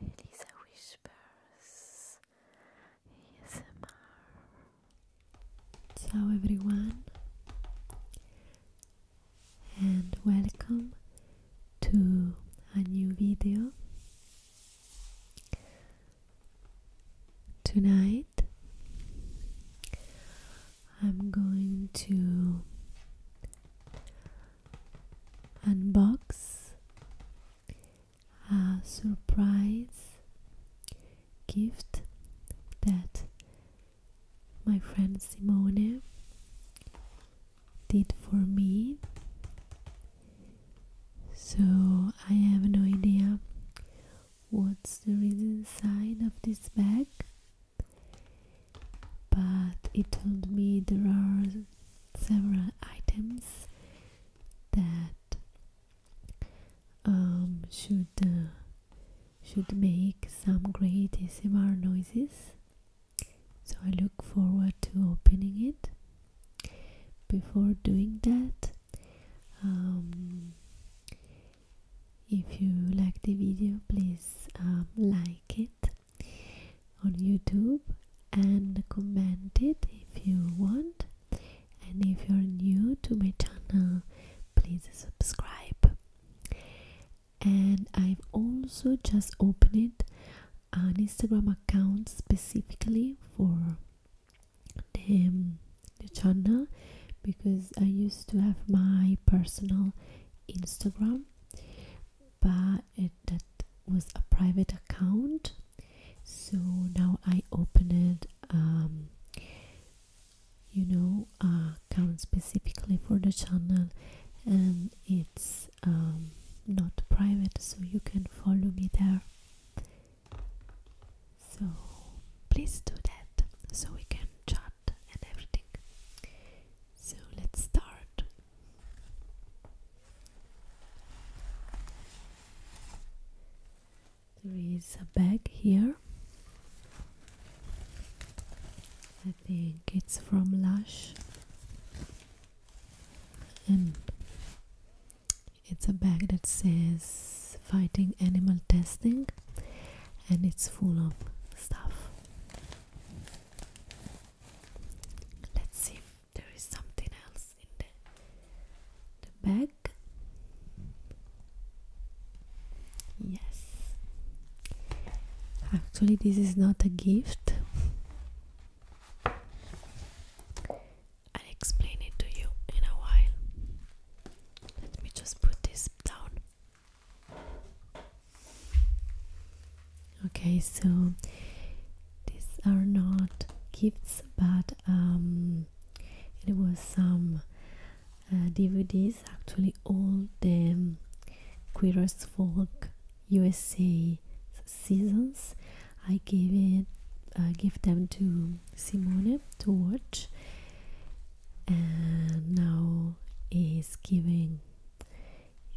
Elisa Whispers ASMR Ciao everyone and welcome to a new video Tonight I'm going to unbox a surprise gift that my friend Simone did for me. So I have no idea what's there is inside of this bag, but he told me there are several items that um, should uh, should make some great ASMR noises so I look forward to opening it before doing that um, if you like the video please um, like it on YouTube and comment it if you want. And if you're new to my channel, please subscribe. And I've also just opened an Instagram account specifically for the, um, the channel because I used to have my personal Instagram but it, that was a private account so now I open it um, you know uh, account specifically for the channel and it's um, not private so you can follow me there so please do that so we can chat and everything so let's start there is a bag here. I think it's from Lush. And it's a bag that says fighting animal testing and it's full of stuff. Let's see if there is something else in the, the bag. Yes. Actually, this is not a gift. I'll explain it to you in a while. Let me just put this down okay so these are not gifts but um, it was some uh, DVDs actually all the um, Queer as Folk USA seasons I gave it I uh, give them to Simone to watch and now is giving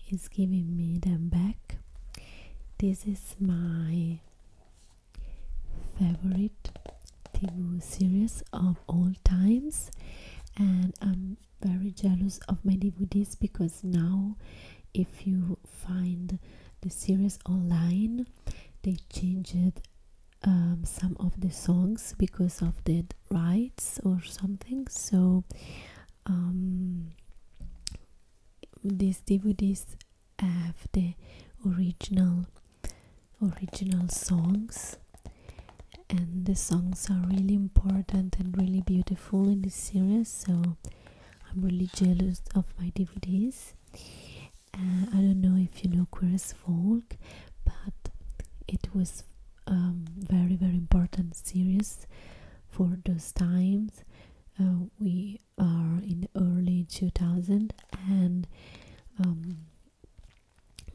is giving me them back. This is my favorite TV series of all times and I'm very jealous of my DVDs because now if you find the series online they changed um, some of the songs because of the rights or something so um, these DVDs have the original original songs and the songs are really important and really beautiful in this series so I'm really jealous of my DVDs uh, I don't know if you know Queer as Folk but it was um, very very important series for those times. Uh, we are in the early 2000 and um,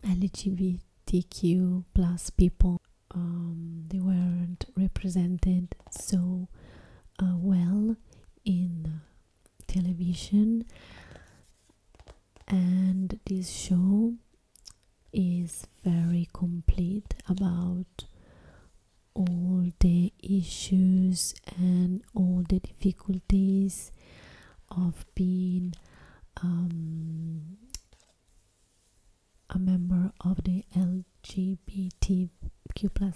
LGBTQ plus people um, they weren't represented so uh, well in television and this show is very complete about all the issues and all the difficulties of being um, a member of the LGBTQ plus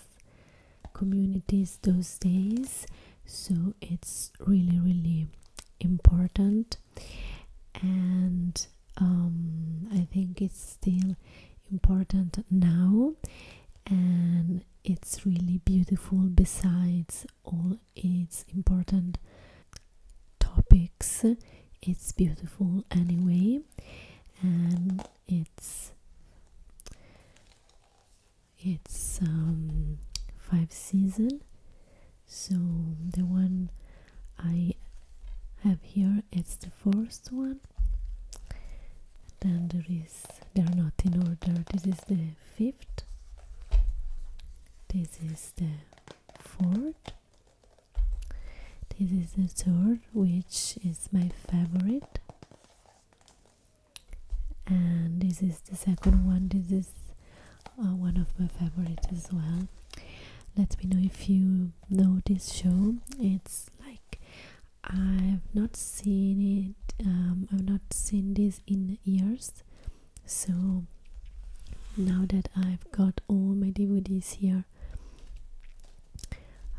communities those days so it's really really important and um, I think it's still important now and it's really beautiful besides all its important topics it's beautiful anyway and it's it's um, five season so the one I have here it's the first one then there is they are not in order this is the fifth this is the fourth this is the third which is my favorite and this is the second one this is uh, one of my favorites as well let me know if you um, this show. It's like I've not seen it. Um, I've not seen this in years. So now that I've got all my DVDs here,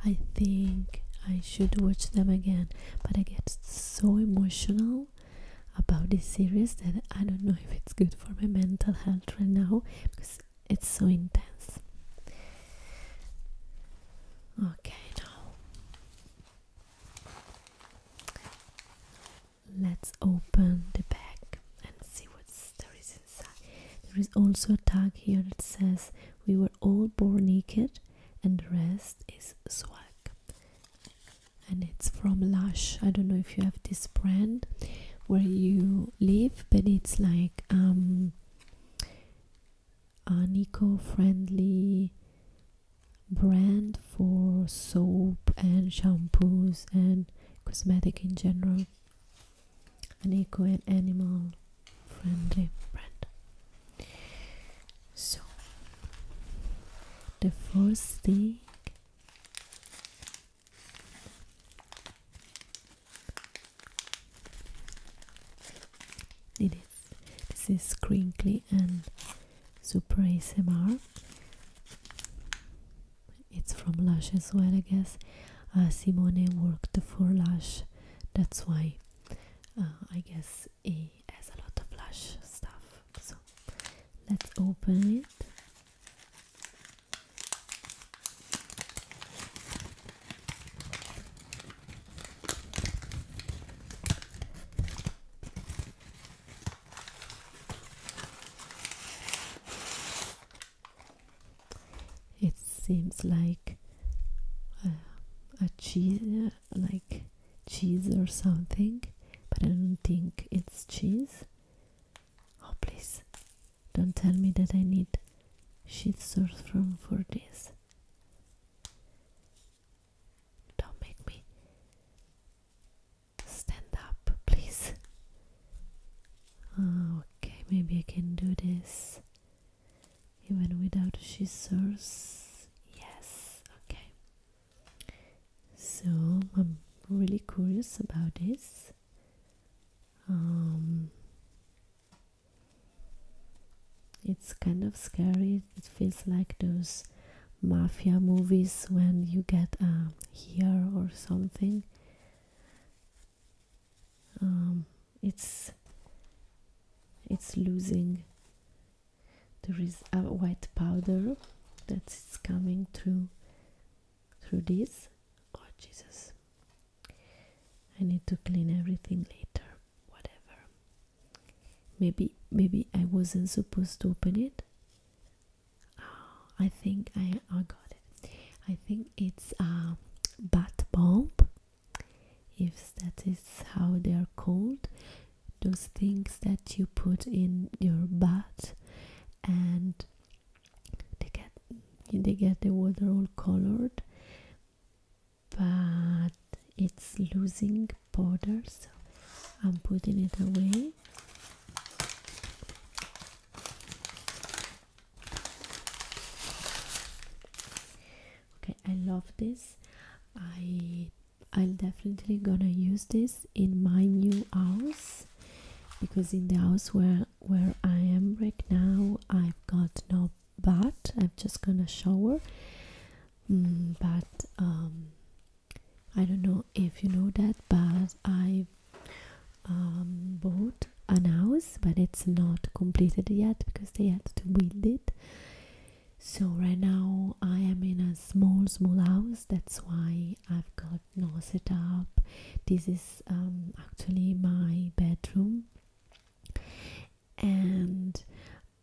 I think I should watch them again. But I get so emotional about this series that I don't know if it's good for my mental health right now because it's so intense. Okay, now let's open the bag and see what there is inside. There is also a tag here that says we were all born naked and the rest is swag. And it's from Lush. I don't know if you have this brand where you live, but it's like um, an eco-friendly brand for soap and shampoos and cosmetic in general. An eco and animal-friendly brand. So the first thing it is. This is crinkly and super ASMR. It's from Lush as well, I guess. Uh, Simone worked for Lush, that's why uh, I guess it has a lot of Lush stuff. So let's open it. It seems like uh, a cheese, uh, like cheese or something, but I don't think it's cheese. Oh, please, don't tell me that I need shit source from for this. Don't make me stand up, please. Ah, okay, maybe I can do this even without shit Yes, okay. So I'm really curious about this. Um, it's kind of scary it feels like those mafia movies when you get a here or something um, it's it's losing there is a white powder that's coming through through this. Oh, Jesus. I need to clean everything later. Whatever. Maybe, maybe I wasn't supposed to open it. Ah, I think I, I got it. I think it's a bat bomb, if that is how they are called. Those things that you put in your bat and they get they get the water all colored but it's losing powder so I'm putting it away okay I love this I I'm definitely gonna use this in my new house because in the house where where I am right now I've got no bath I'm just gonna shower mm, but um, I don't know if you know that but I um, bought an house but it's not completed yet because they had to build it so right now I am in a small small house that's why I've got no know, this is um, actually my bedroom and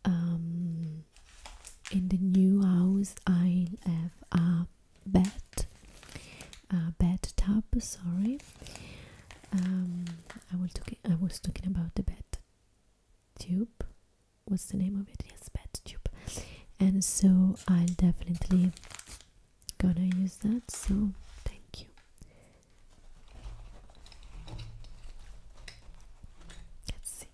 um, in the new house i have a bed a bed sorry um, I was talking about the bed tube what's the name of it yes bed tube and so i'll definitely gonna use that, so thank you. Let's see.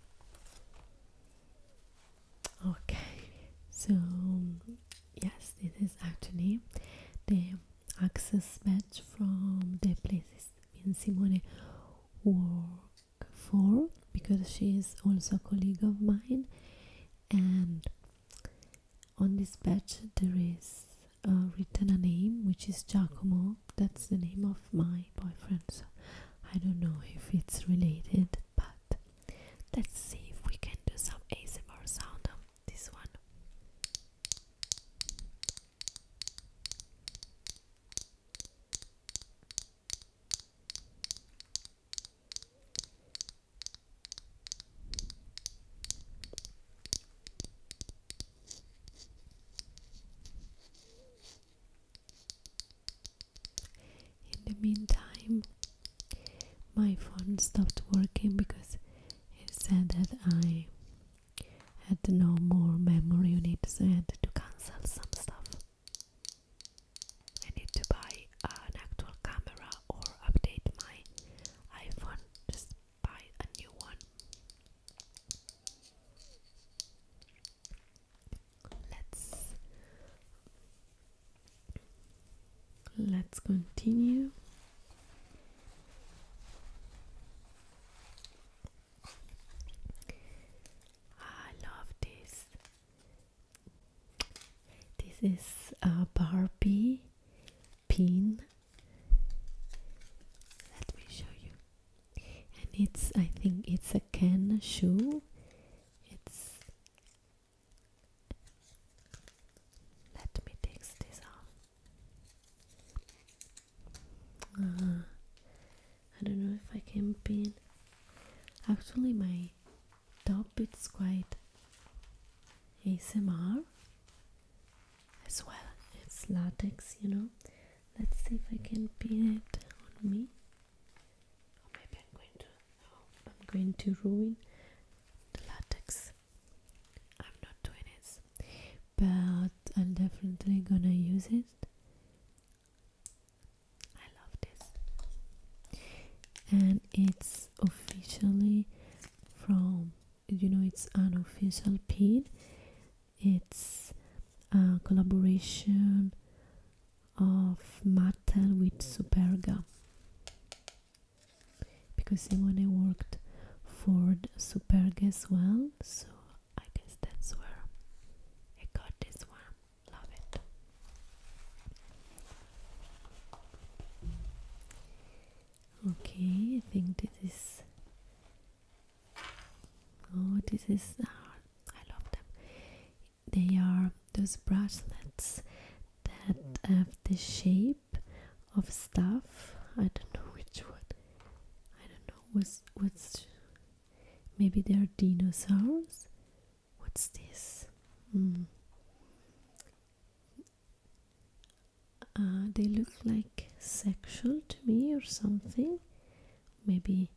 Okay, so yes, this is actually the access badge from the places in Simone work for because she is also a colleague of mine and on this badge there is uh, written a name which is Giacomo that's the name of my boyfriend so I don't know if it's related but let's see if we can do some ASMR sound on this one in the meantime, my phone stopped working because it said that I had no more memory on it, so I to cancel some stuff. I need to buy uh, an actual camera or update my iPhone, just buy a new one. Let's let's continue. I love this. This is a Barbie pin. Let me show you. And it's, I think it's a can shoe. It's. Let me take this off. Uh, I don't know if I can pin. Actually, my top it's quite ASMR as well. It's latex, you know. Let's see if I can pin it on me. maybe I'm going to I'm going to ruin the latex. I'm not doing it. But I'm definitely gonna use it. I love this. And it's officially from you know it's unofficial pin it's a collaboration of Mattel with Superga because Simone worked for Superga as well so I guess that's where I got this one love it Okay, I think this is. Oh, this is. Ah, I love them. They are those bracelets that have the shape of stuff. I don't know which one. I don't know what's what's. Maybe they're dinosaurs. What's this? Hmm. Uh, they look like sexual to me or something. Maybe,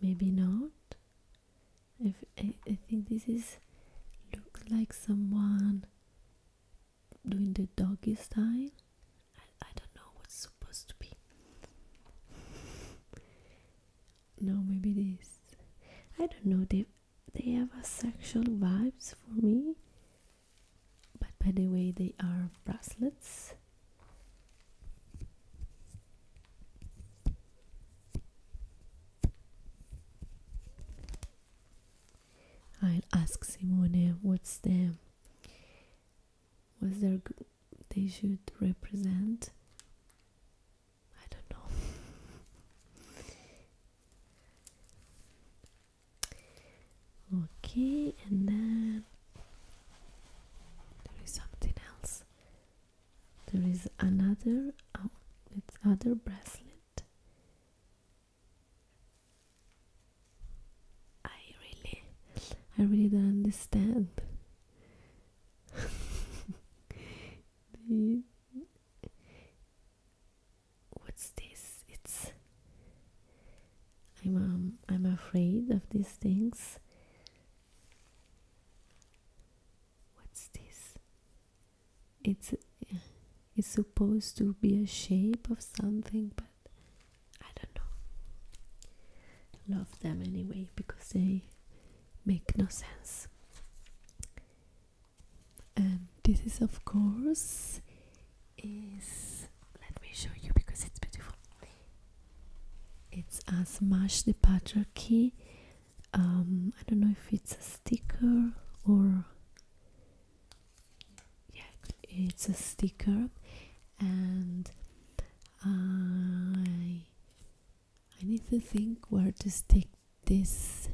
maybe not. If I, think this is looks like someone doing the doggy style. I, don't know what's supposed to be. no, maybe this. I don't know. They they have a sexual vibes for me but by the way they are bracelets I'll ask Simone what's the what's their they should represent I don't know. Okay, and then there is something else. There is another oh, it's other bracelet. I really I really don't understand. the, what's this? It's I'm um, I'm afraid of these things. What's this? It's it's supposed to be a shape of something, but I don't know. Love them anyway because they make no sense and this is of course is let me show you because it's beautiful it's a smash the patriarchy um, I don't know if it's a sticker or yeah it's a sticker and I I need to think where to stick this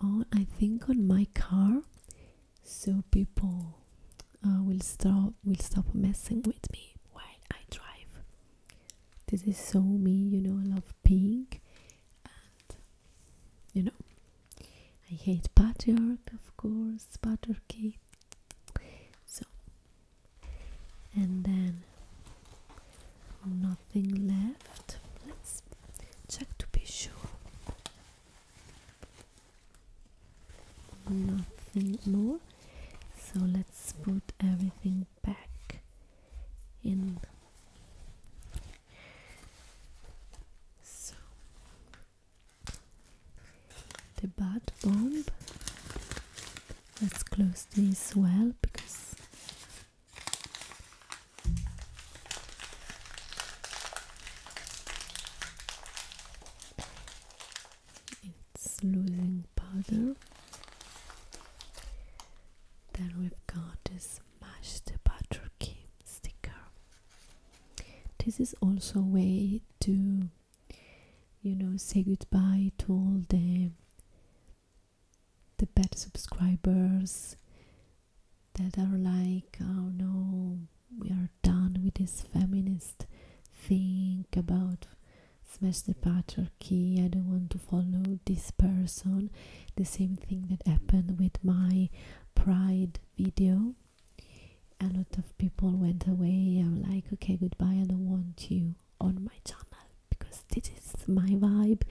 on. I think on my car, so people uh, will stop will stop messing with me while I drive. This is so me, you know. I love pink, and you know, I hate patchwork, of course, patriarchy. So, and then nothing left let's check to be sure nothing more so let's put everything back in so the bat bomb let's close this well because it's losing powder. Then we've got this mashed butter sticker. This is also a way to, you know, say goodbye to all the the bad subscribers that are like, oh no, we are done with this feminist Think about smash the patriarchy, I don't want to follow this person. The same thing that happened with my pride video. A lot of people went away. I'm like, okay, goodbye, I don't want you on my channel because this is my vibe,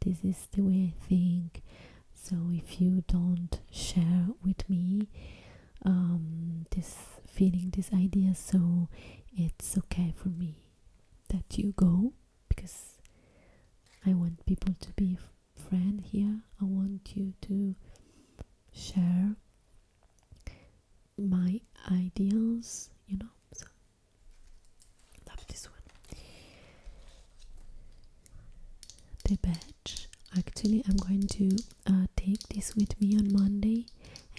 this is the way I think. So if you don't share with me um, this feeling, this idea, so it's okay for me that you go because I want people to be friend here. I want you to share my ideals, you know. Love this one. The badge. Actually, I'm going to uh, take this with me on Monday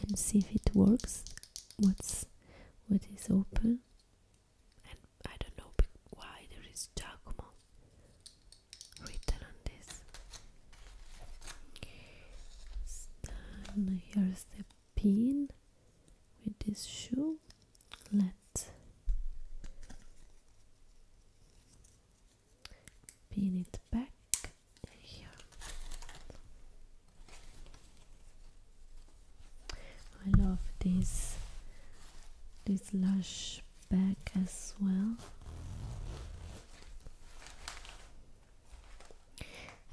and see if it works. What's what is open? And I don't know why there is Giacomo written on this. here's the pin with this shoe let pin it back I love this this lash back as well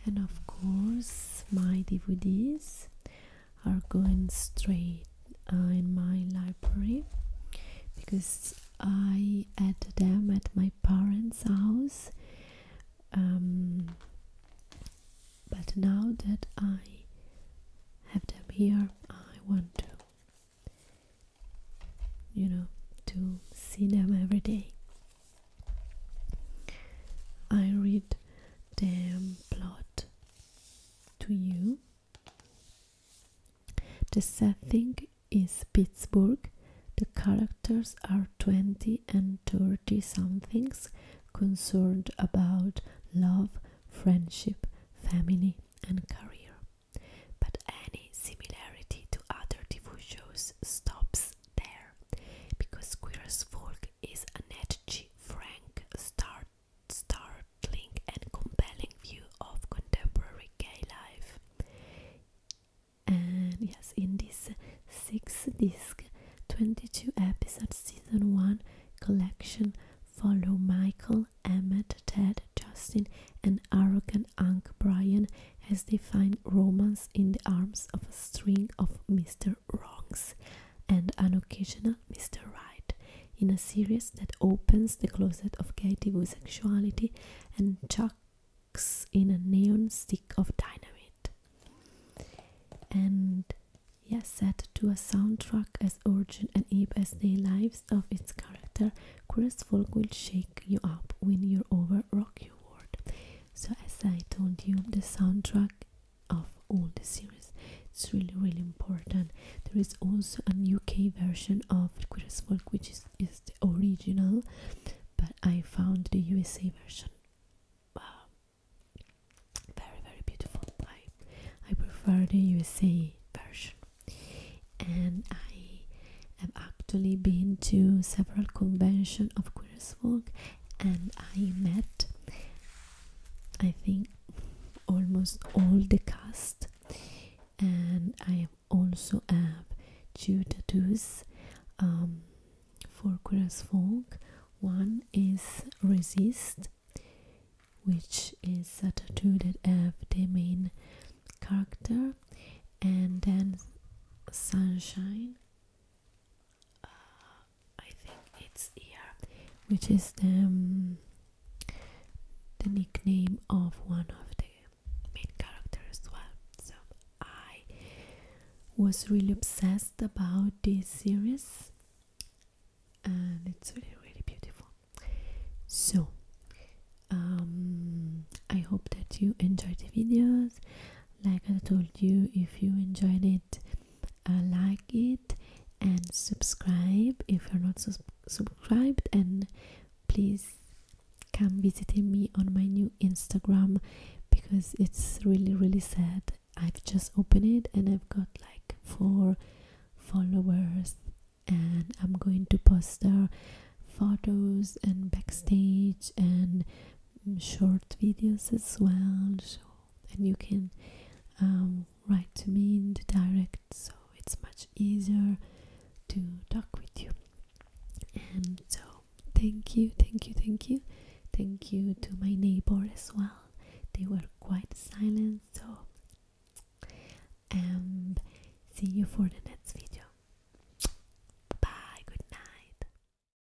and of course my DVDs are going straight uh, in my library because I had them at my parents' house um, but now that I have them here I want to you know to see them every day I read the plot to you. The setting is Pittsburgh. The characters are 20 and 30 somethings concerned about love, friendship, family, and career. But any similarity to other TV shows stops there because Queer as is a net frank, star startling and compelling view of contemporary gay life. And yes, in this six-disc, 22 episode season 1 collection, follow Michael, Emmett, Ted, Justin, and arrogant Uncle Brian as they find romance in the arms of a string of Mister. Wrongs and an occasional Mr. Right in a series that opens the closet of gay sexuality and chucks in a neon stick of dynamite. And yes, set to a soundtrack as urgent and deep as the lives of its character, Curious Folk will shake you up, win you over, rock your world. So as I told you, the soundtrack of all the series. It's really, really important. There is also a UK version of Queer as Folk, which is, is the original, but I found the USA version. Wow. Uh, very, very beautiful. I, I prefer the USA version. And I have actually been to several conventions of Würzburg and I met I think almost all the cast and I also have two tattoos um, for Folk. One is Resist which is a tattoo that have the main character and then Sunshine uh, I think it's here, which is the um, the nickname of one of the main characters as well. So I was really obsessed about this series, and it's really really beautiful. So um, I hope that you enjoyed the videos. Like I told you, if you enjoyed it uh, like it and subscribe if you're not subscribed and please come visiting me on my new instagram because it's really really sad i've just opened it and i've got like four followers and i'm going to post their uh, photos and backstage and short videos as well so and you can um, write to me in the direct so it's much easier to talk with you and so thank you thank you thank you thank you to my neighbors as well they were quite silent so um see you for the next video bye good night